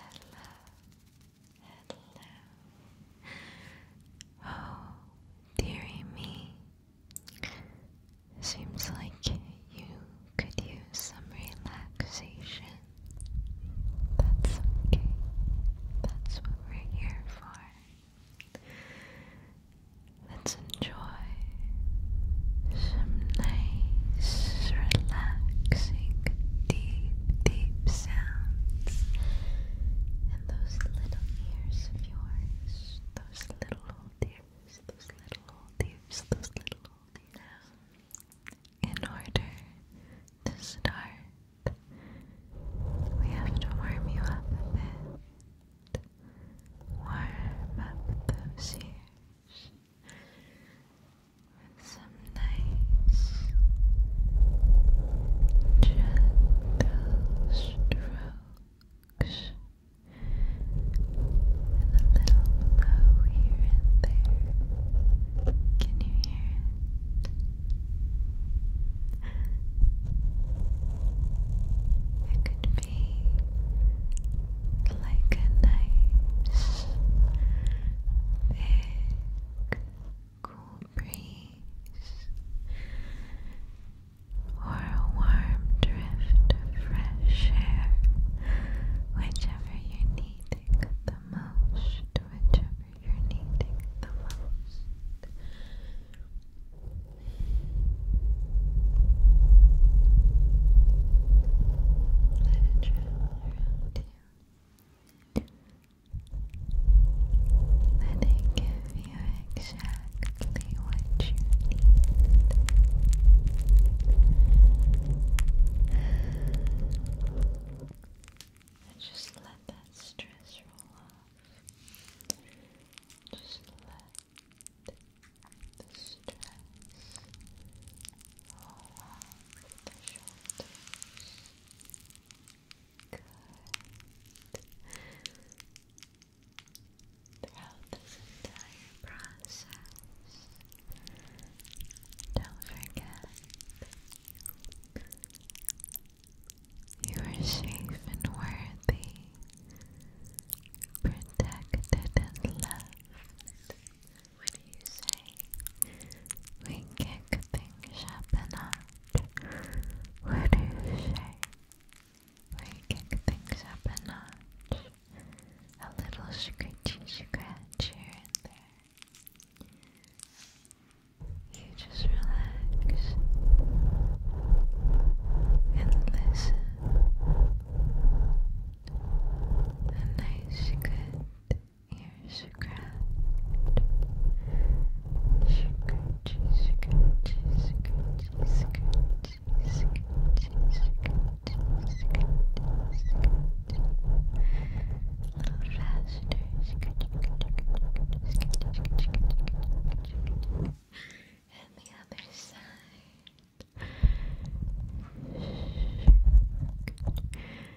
Hello, hello. Oh, dearie me. Seems like you could use some relaxation. That's okay. That's what we're here for. Let's enjoy some nice, relaxing deep, deep sounds in those little ears of yours. Those little old ears, those little old ears, those little old ears. in order to start, we have to warm you up a bit. Warm up those ears some nice gentle strokes and a little blow here and there. Can you hear it? It could be like a nice big cool breeze or a warm drift of fresh air, whichever you're the most, whichever you're the most. Let it travel around you. Let it give you exactly what you need. just let that stress roll off. Just let the stress along the shoulders. Good. Throughout this entire process, don't forget you are safe and worthy, protected and loved. What do you say? We kick things up a notch. What do you say? We kick things up a notch. A little scratchy scratch here and there. You just relax and listen. A nice, good ears cracked. Scratchy, scratchy, scratchy, scratchy, scratchy, scratchy, scratchy, scratchy. A little faster. Scratchy, scratchy, scratchy, scratchy, scratchy. And the other side. Shh.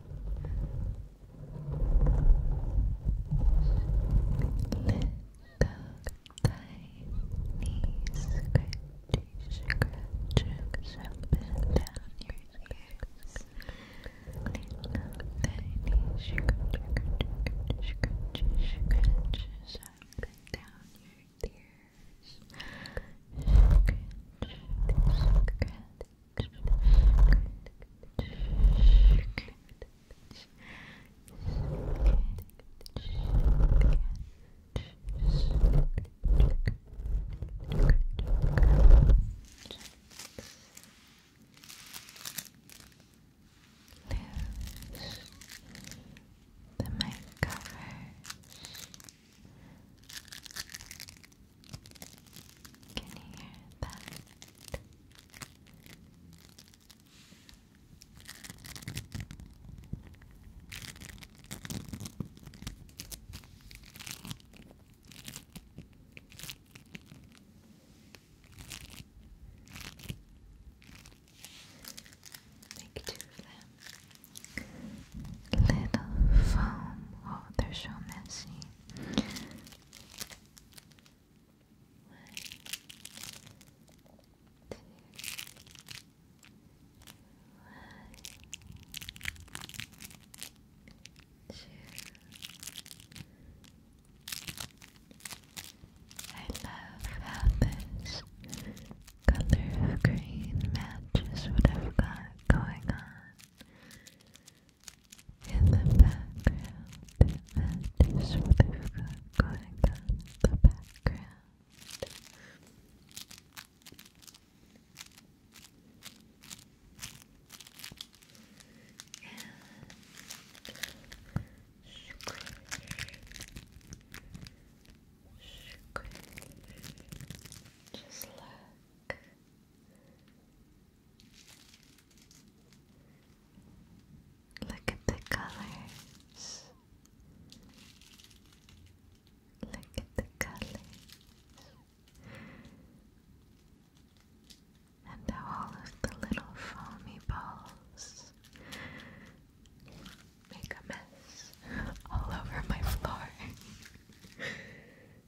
Little tiny scratchy scratches up and down your ears. Little tiny scratchy scratchy scratches up and down your ears. Scratch, scratch, the mic cover can you hear that? Make of them little foam. Oh, they're so messy. One, two, one, two. I love how color of green matches what got going on in the background. And that is what we've got going on in the background. And squish, squish. Just Look, Look at the colors. Look at the colors. And how all of the little foamy balls make a mess all over my floor.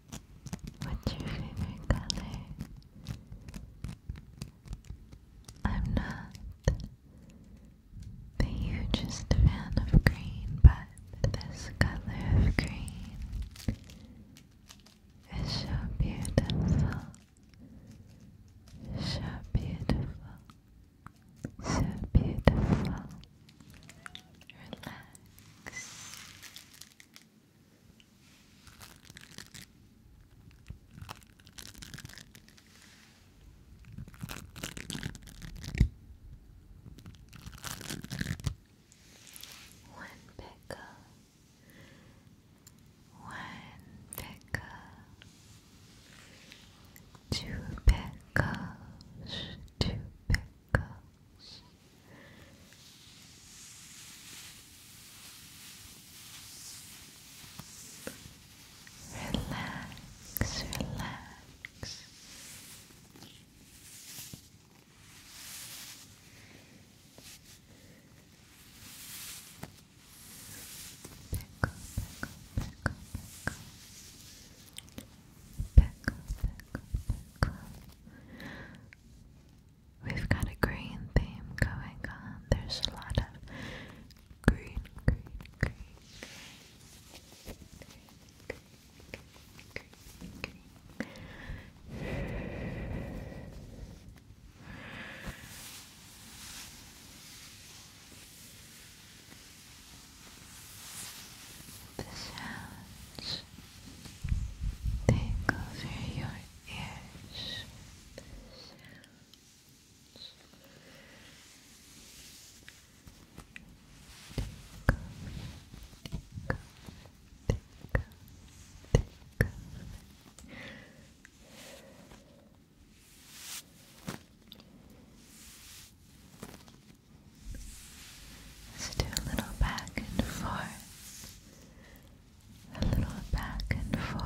What's your favorite color? I'm not the hugest fan of green, but this color of green is so beautiful. So beautiful. So beautiful. Relax. One pickle, one pickle, two pickles, two pickles circles. Relax, relax. Pick up, pick up, pick up, pick up. Pick up, pick up. We've got a green theme going on. There's a lot of green, green, green, green, green, green, green. The sounds Take over your ears. Take Let's do a little back and forth. A little back and forth.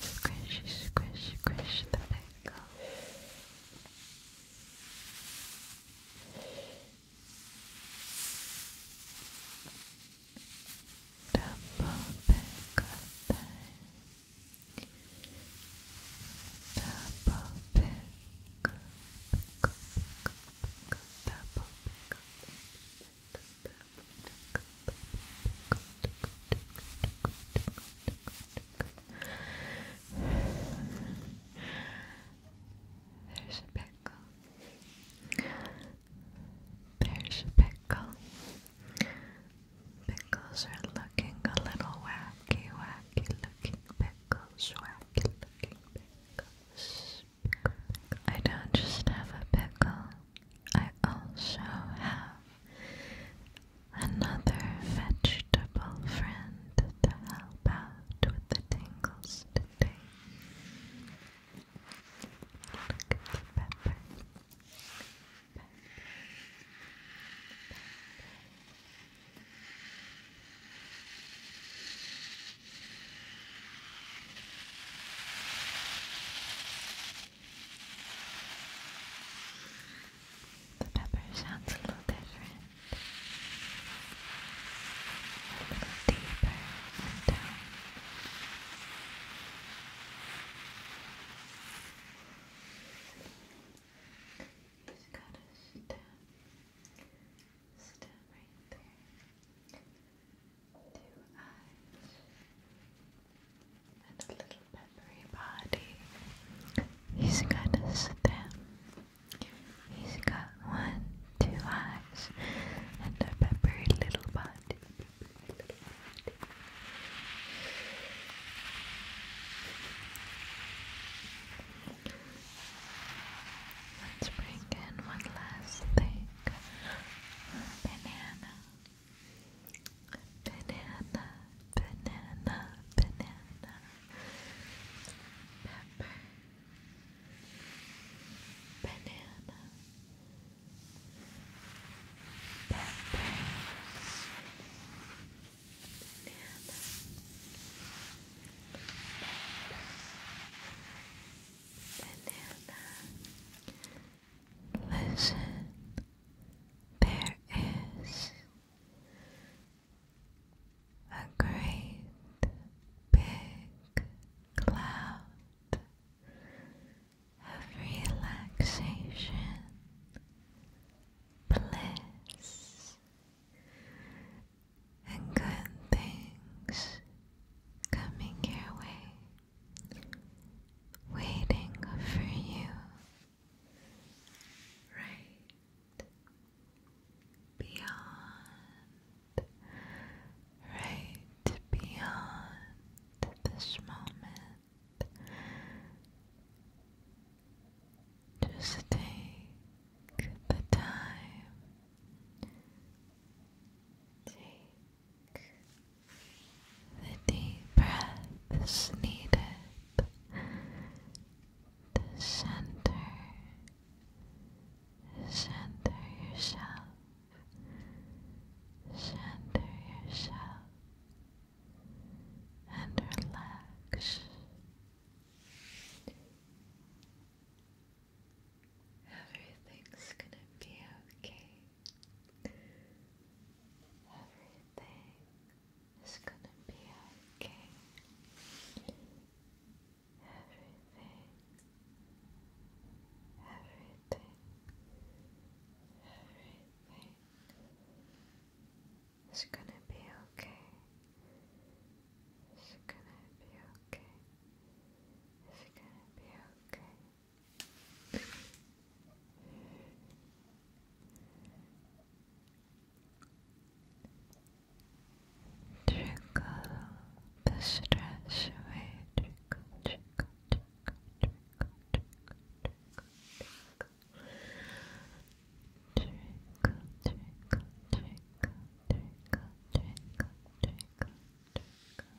Squish, squish, squish the pickle. Double pickle time. Double double there's a pickle. There's a pickle. Pickles are looking a little wacky, wacky looking pickles, wacky looking pickles. I don't just have a pickle. I also have another vegetable friend to help out with the tingles today. Look at the Pepper. The pepper sounds a little different, a little deeper in tone. He's got a stem, stem right there two eyes, and a little peppery body. He's got a He's got one, two eyes, and a peppery little body. Let's bring in one last thing. Banana banana, banana, banana, pepper, banana, pepper, banana, banana. Listen, there is a great big cloud of relaxation, bliss, and good things coming your way waiting for you right beyond, right beyond this moment. Just take the time. The deep breath is needed to center, center yourself, center yourself, and relax. Everything's gonna be okay. Everything is gonna be okay. Everything, everything, everything is gonna be okay. It's gonna be okay. It's gonna be okay. Trickle the stress away. Trickle, trickle, trickle, trickle, trickle, trickle, trickle, trickle, trickle, trickle, trickle, trickle, trickle, trickle, trickle,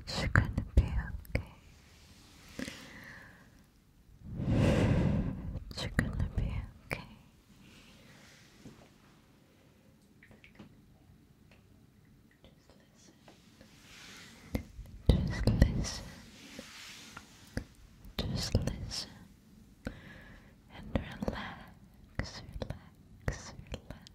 It's gonna be okay. It's gonna be okay. Just listen. Just listen. And relax, relax, relax.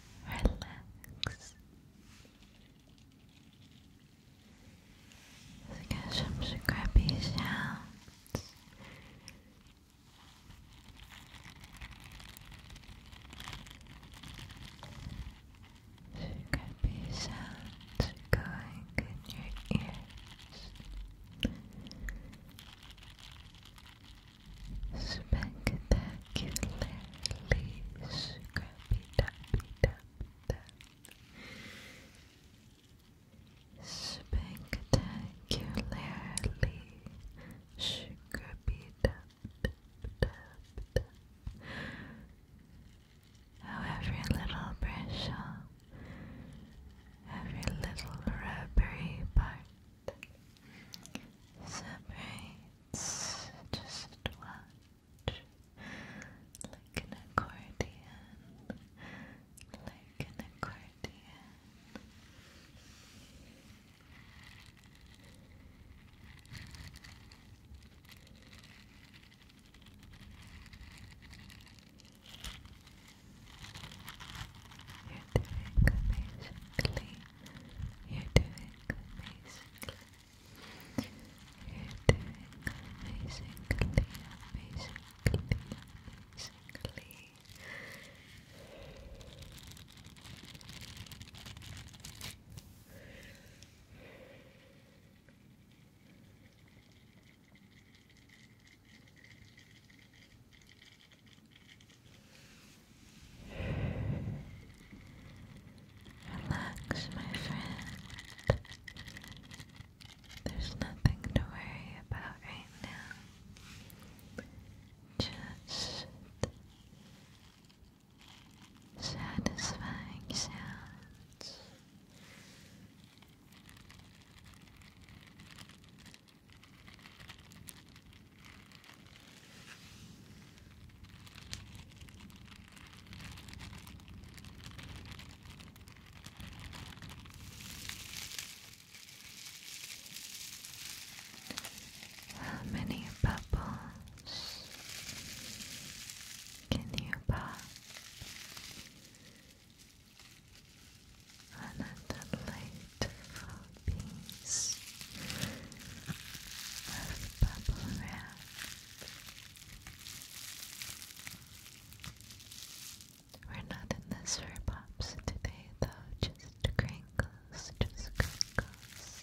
relax. Let's get some scrappy sounds. Scrappy sounds going in your ears spectacularly scrappy tappy tap tap spectacularly scrappy tap tap tap tap how oh, every little bristle every little rubbery part separates just watch like an accordion like an accordion you're doing amazingly you're doing amazingly. You're doing amazingly, amazingly, amazingly. amazingly. Relax, my friend. There's nothing to worry about right now. Just satisfying sounds. How many bubbles can you pop on a delightful piece of bubble wrap. We're not in the sir pops today, though, just crinkles, just crinkles.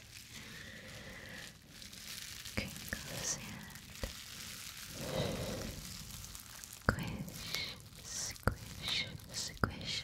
Crinkles and squish, squish, squish.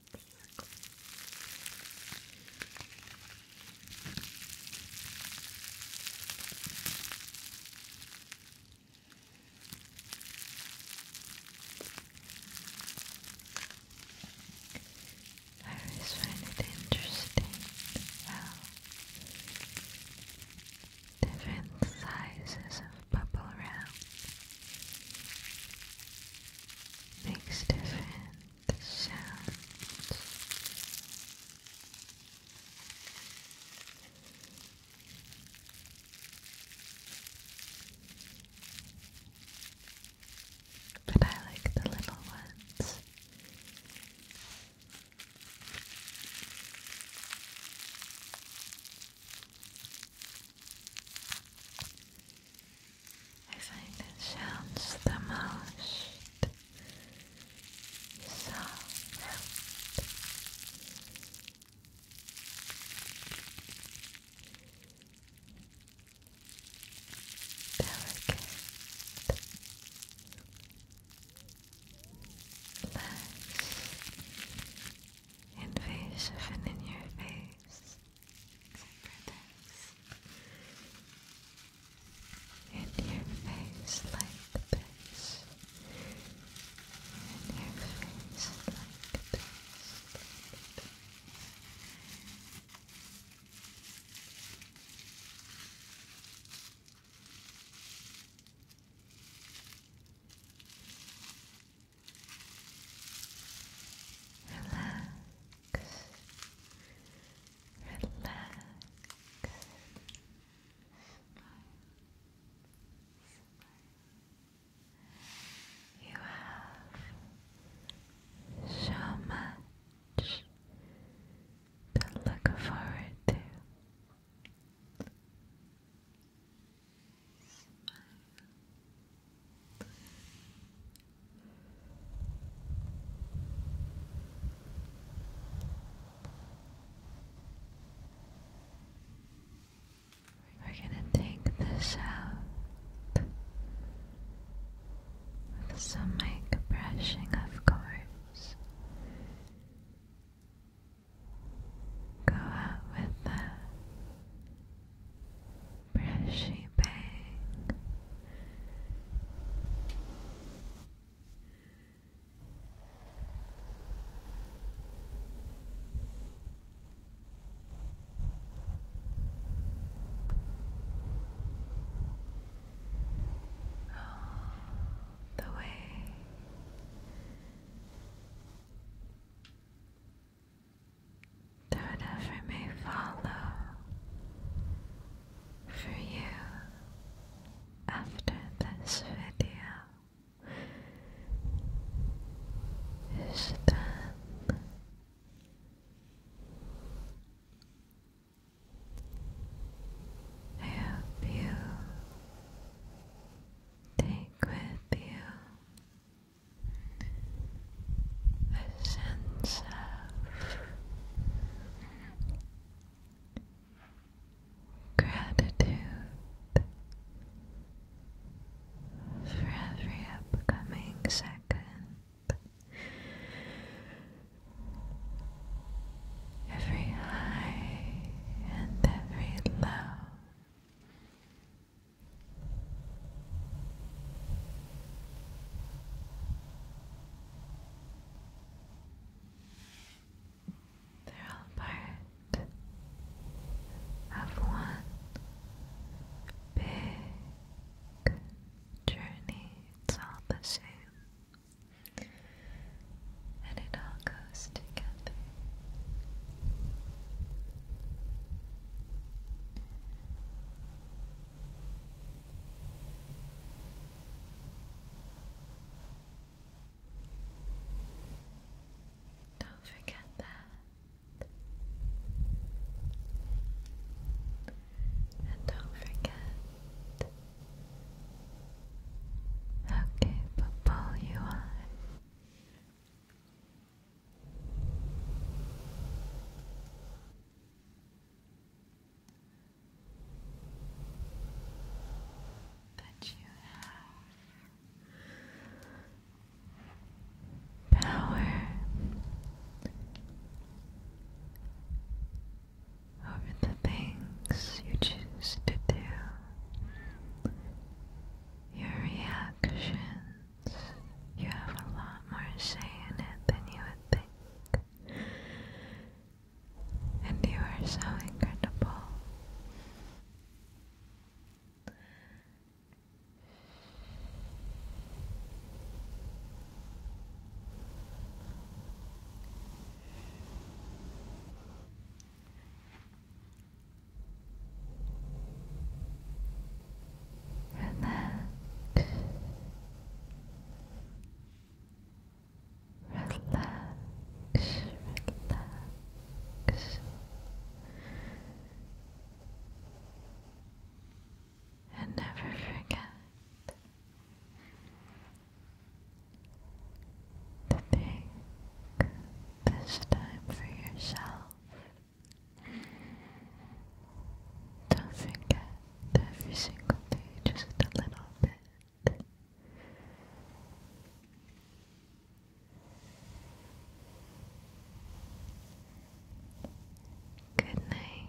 Exactly. I find it interesting how different sizes of bubble wrap makes different sounds. But I like the little ones. I find it sounds the most soft. Delicate. Less invasive and in your face for this in your face like this in your face like this, like this. Like Relax. Relax. You have so much to look forward to. We're gonna take this out with some mic brushing, of course. Go out with the brushy bang. All oh, the way Whatever may follow for you after this video is done. I hope you take with you a sense of gratitude for every upcoming second, every high and every low. They're all part of one big journey. It's all the same, and it all goes together. Don't forget that. And don't forget how capable you are that you have power over the things you choose to do, your reactions. You have a lot more say in it than you would think. And you are so incredible. Relax. Relax, relax. And never forget to take this time for yourself don't forget every single day, just a little bit. Good night.